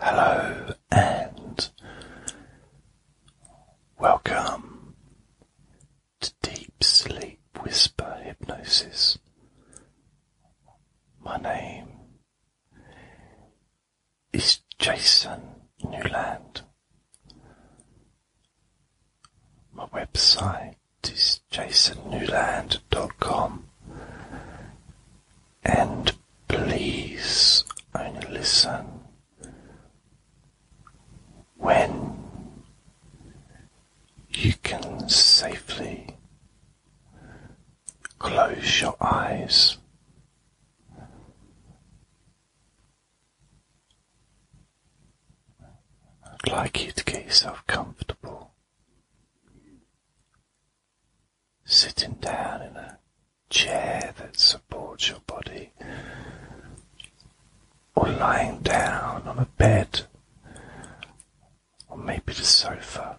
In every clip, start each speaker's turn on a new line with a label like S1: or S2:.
S1: Hello and welcome to Deep Sleep Whisper Hypnosis. My name is Jason Newland. My website is jasonnewland.com and please only listen when you can safely close your eyes. I'd like you to get yourself comfortable sitting down in a chair that supports your body, or lying down on a bed, or maybe the sofa.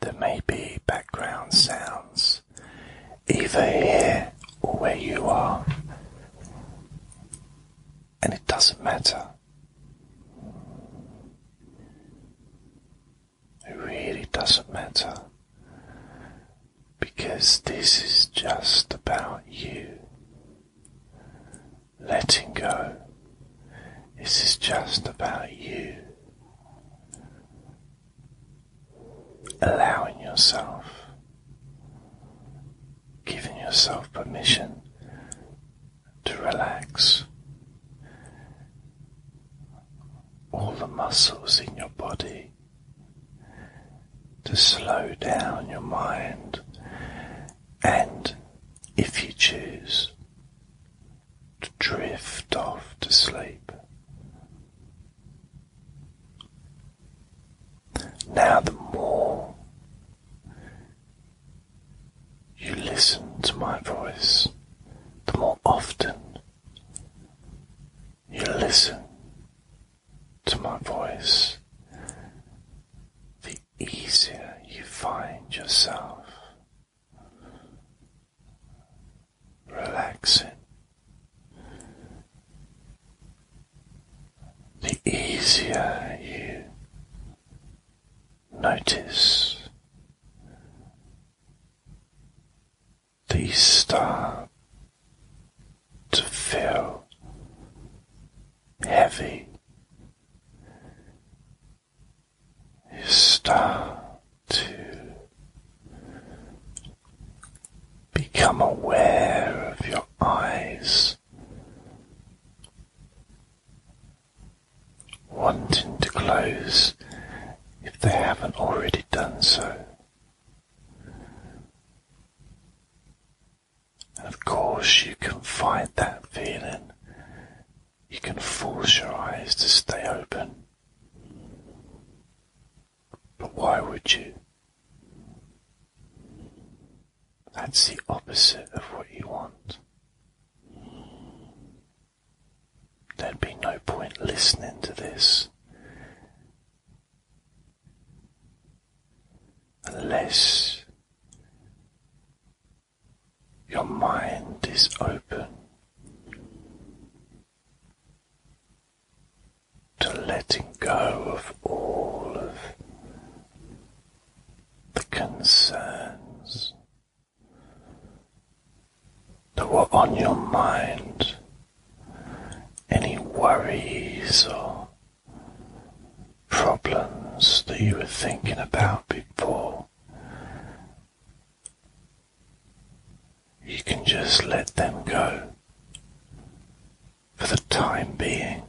S1: There may be background sounds either here or where you are, and it doesn't matter. It really doesn't matter because this is just about you. Letting go. This is just about you. Allowing yourself giving yourself permission to relax all the muscles in your body, to slow down your mind, and if you choose, to drift off to sleep. Now, the more you listen to my voice, the more often you listen to my voice, the easier you find yourself relaxing the easier you notice these start to feel heavy. You start to become aware of your eyes wanting to close if they haven't already done so. of course, you can fight that feeling. You can force your eyes to stay open. But why would you? That's the opposite of what you want. There'd be no point listening to this unless your mind is open to letting go of all of the concerns that were on your mind, any worries or problems that you were thinking about before. You can just let them go for the time being.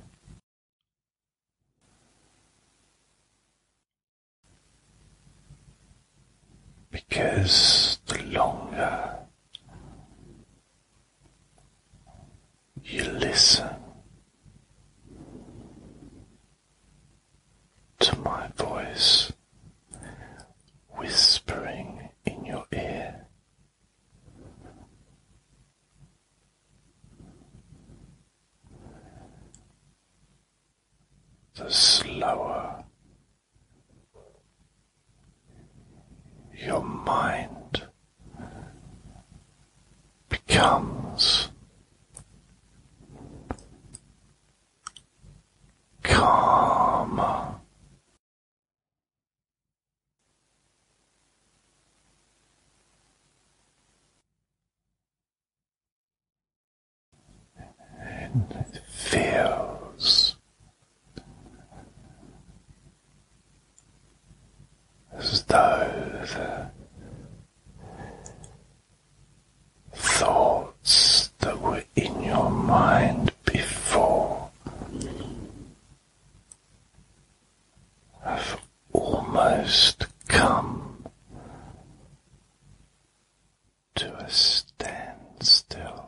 S1: Because the longer you listen to my voice whispering in your ear, the slower your mind becomes calmer it feels as though the thoughts that were in your mind before have almost come to a standstill.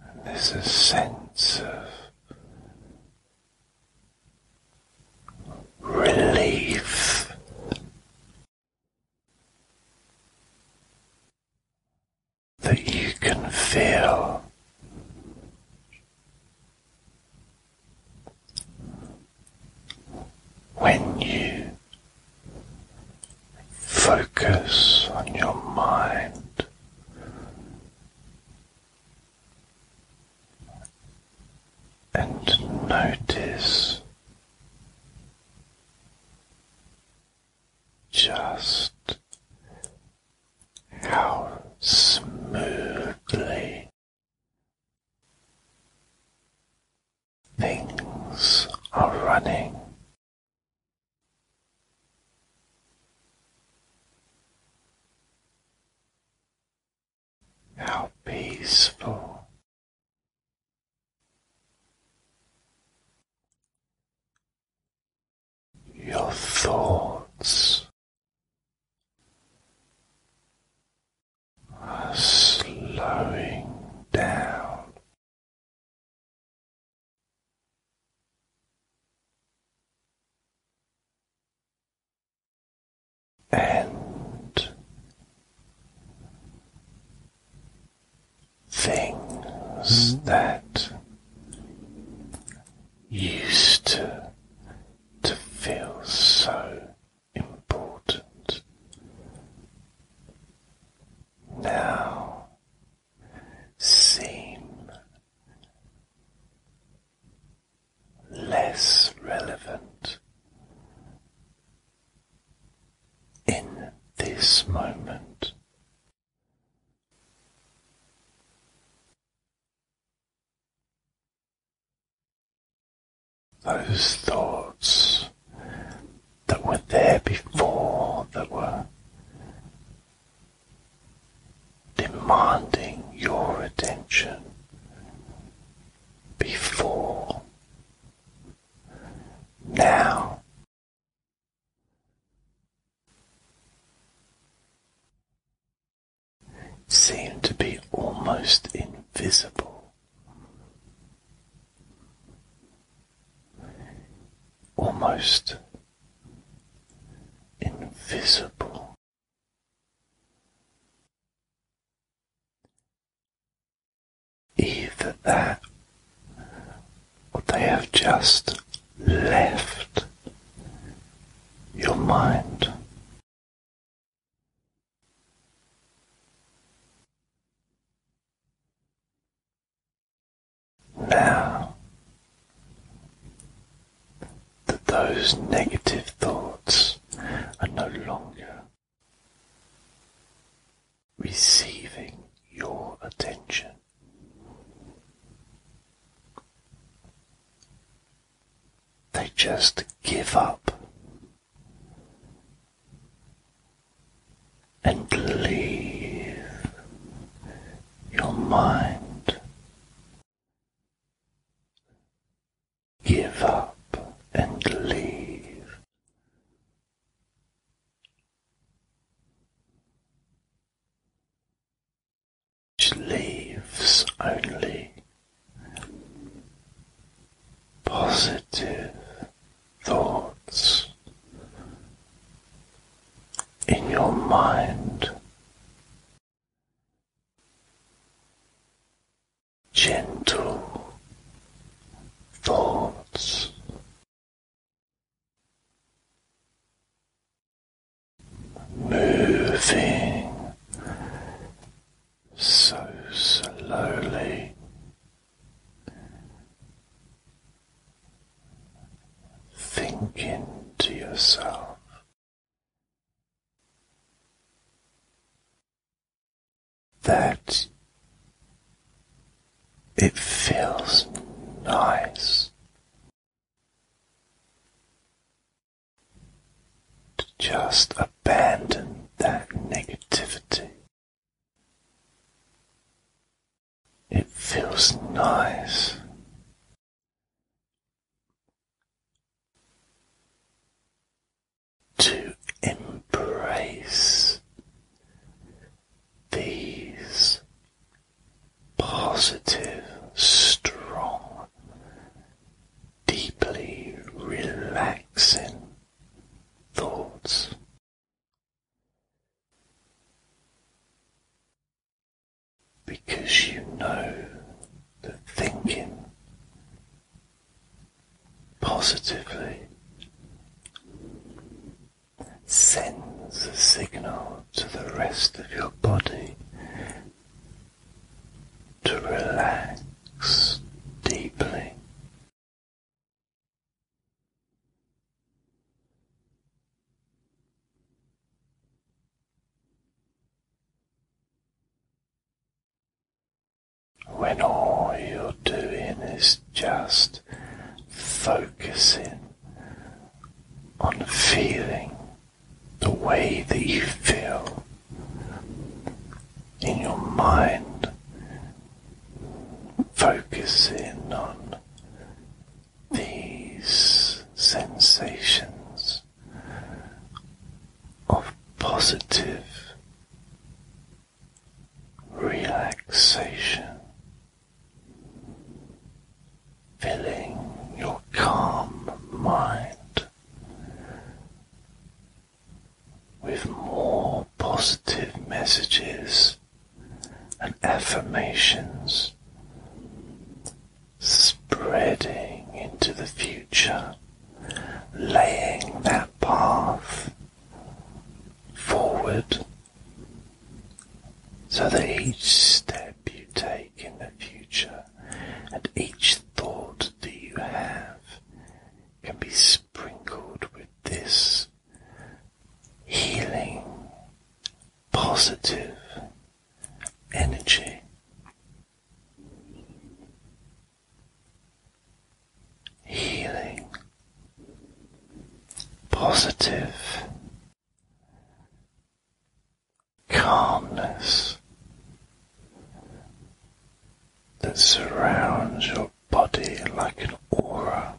S1: And there's a sense of relief.
S2: That you can feel when you Focus on your mind.
S1: And notice just how smoothly Things are running.
S2: How peaceful. Your thoughts are slowing down and things hmm?
S1: that used to, to feel so important now seem less relevant in this moment.
S2: Those thoughts
S1: that were there before, that were demanding your attention before. Now, seem to be almost invisible almost invisible.
S2: Either that or they have just left your mind.
S1: Now that those negative thoughts are no longer receiving your attention. They just give up and leave
S2: your mind. Give up and leave.
S1: Which leaves only positive thoughts in your mind gentle thoughts moving so slowly thinking to yourself. That it feels nice to just abandon that negativity it feels
S2: nice.
S1: To embrace these positive, strong, deeply relaxing thoughts because you know that thinking positively sends a signal to the rest of your body to relax deeply. When all you're doing is just focusing on feeling the way that you feel in your mind focusing on these sensations of positive relaxation, filling your calm mind with more positive messages and affirmations spreading into the future, laying that path forward so that each step you take in the future and each thought that you have can be sprinkled with this healing, positive energy. Healing, positive, calmness, that surrounds your body like an aura.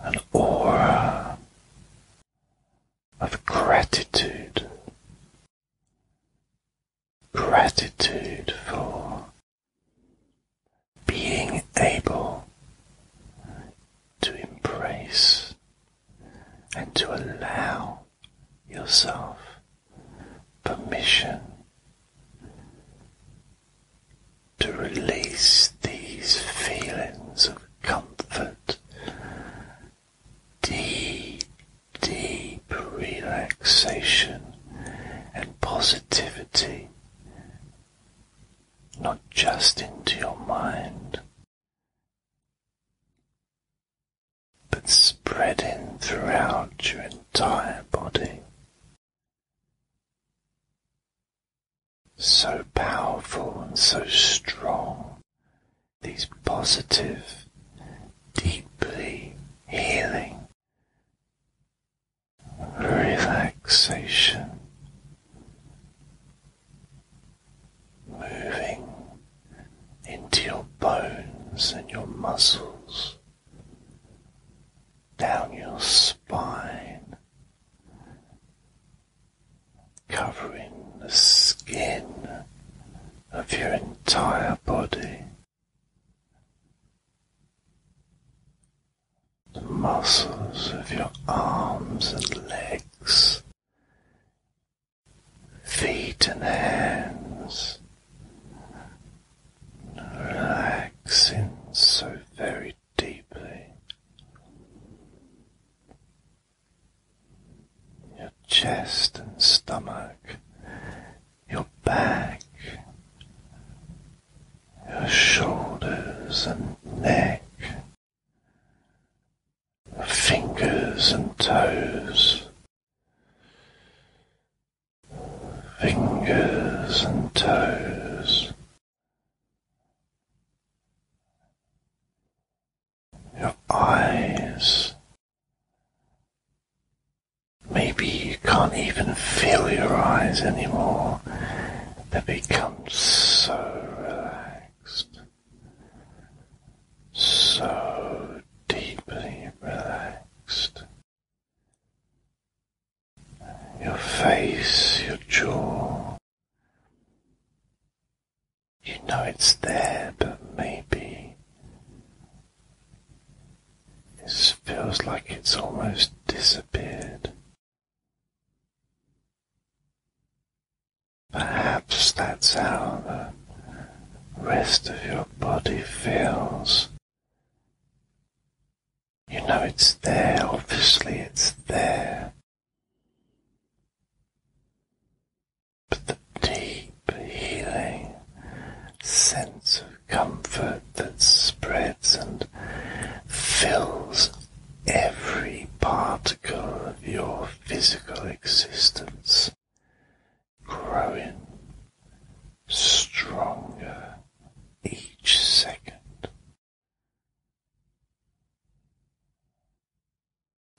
S2: An aura of gratitude. Gratitude for
S1: being able to embrace and to allow yourself permission to release these feelings of comfort, deep, deep relaxation and positivity, not just into your mind. But spreading throughout your entire body, so powerful and so strong, these positive, deeply healing relaxation moving into your bones and your muscles down your spine, covering the skin of your entire body. The muscles of your arms and legs, feet and hands relaxing so very deeply. Your chest and stomach, your back, your shoulders and neck, your fingers and toes, fingers and toes. Your eyes. Maybe you can't even feel your eyes anymore. They become so relaxed, so deeply relaxed your face, your jaw. You know it's there, but maybe it feels like it's almost disappeared. Perhaps that's how the rest of your body feels you know it's there, obviously it's there. But the deep healing sense of comfort that spreads and fills every particle of your physical existence growing stronger each second.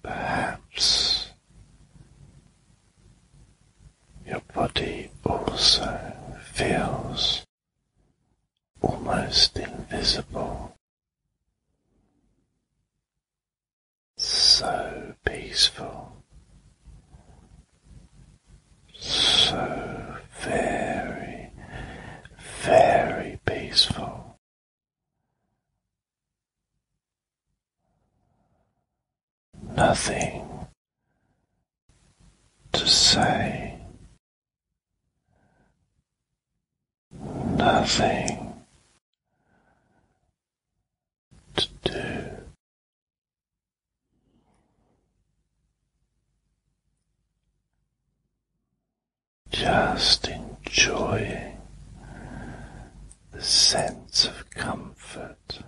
S1: Perhaps your body also feels almost invisible. So peaceful. So very, very
S2: peaceful. Nothing to say, nothing
S1: to do. Just enjoying the sense of comfort.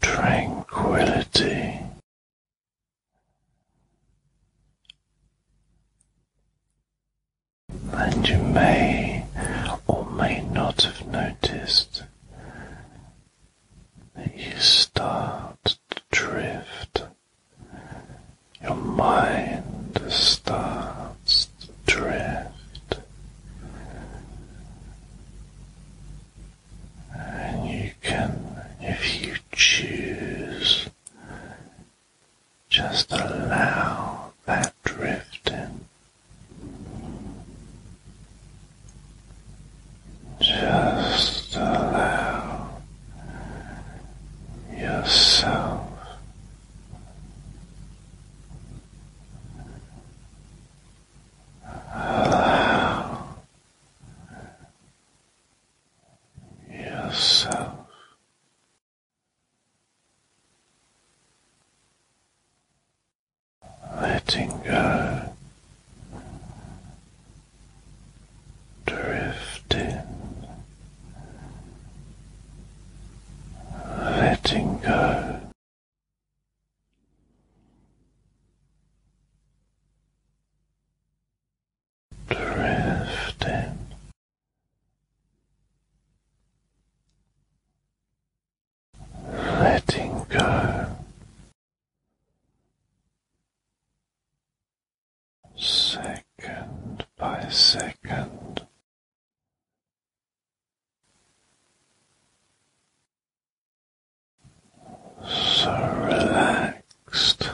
S1: Tranquility and you may or may not have noticed that you start to drift. Your mind starts to drift, and you can, if you choose, just allow that drifting. Just allow yourself allow yourself letting go, drifting,
S2: letting go. Drifting, letting go. Second by second, so relaxed,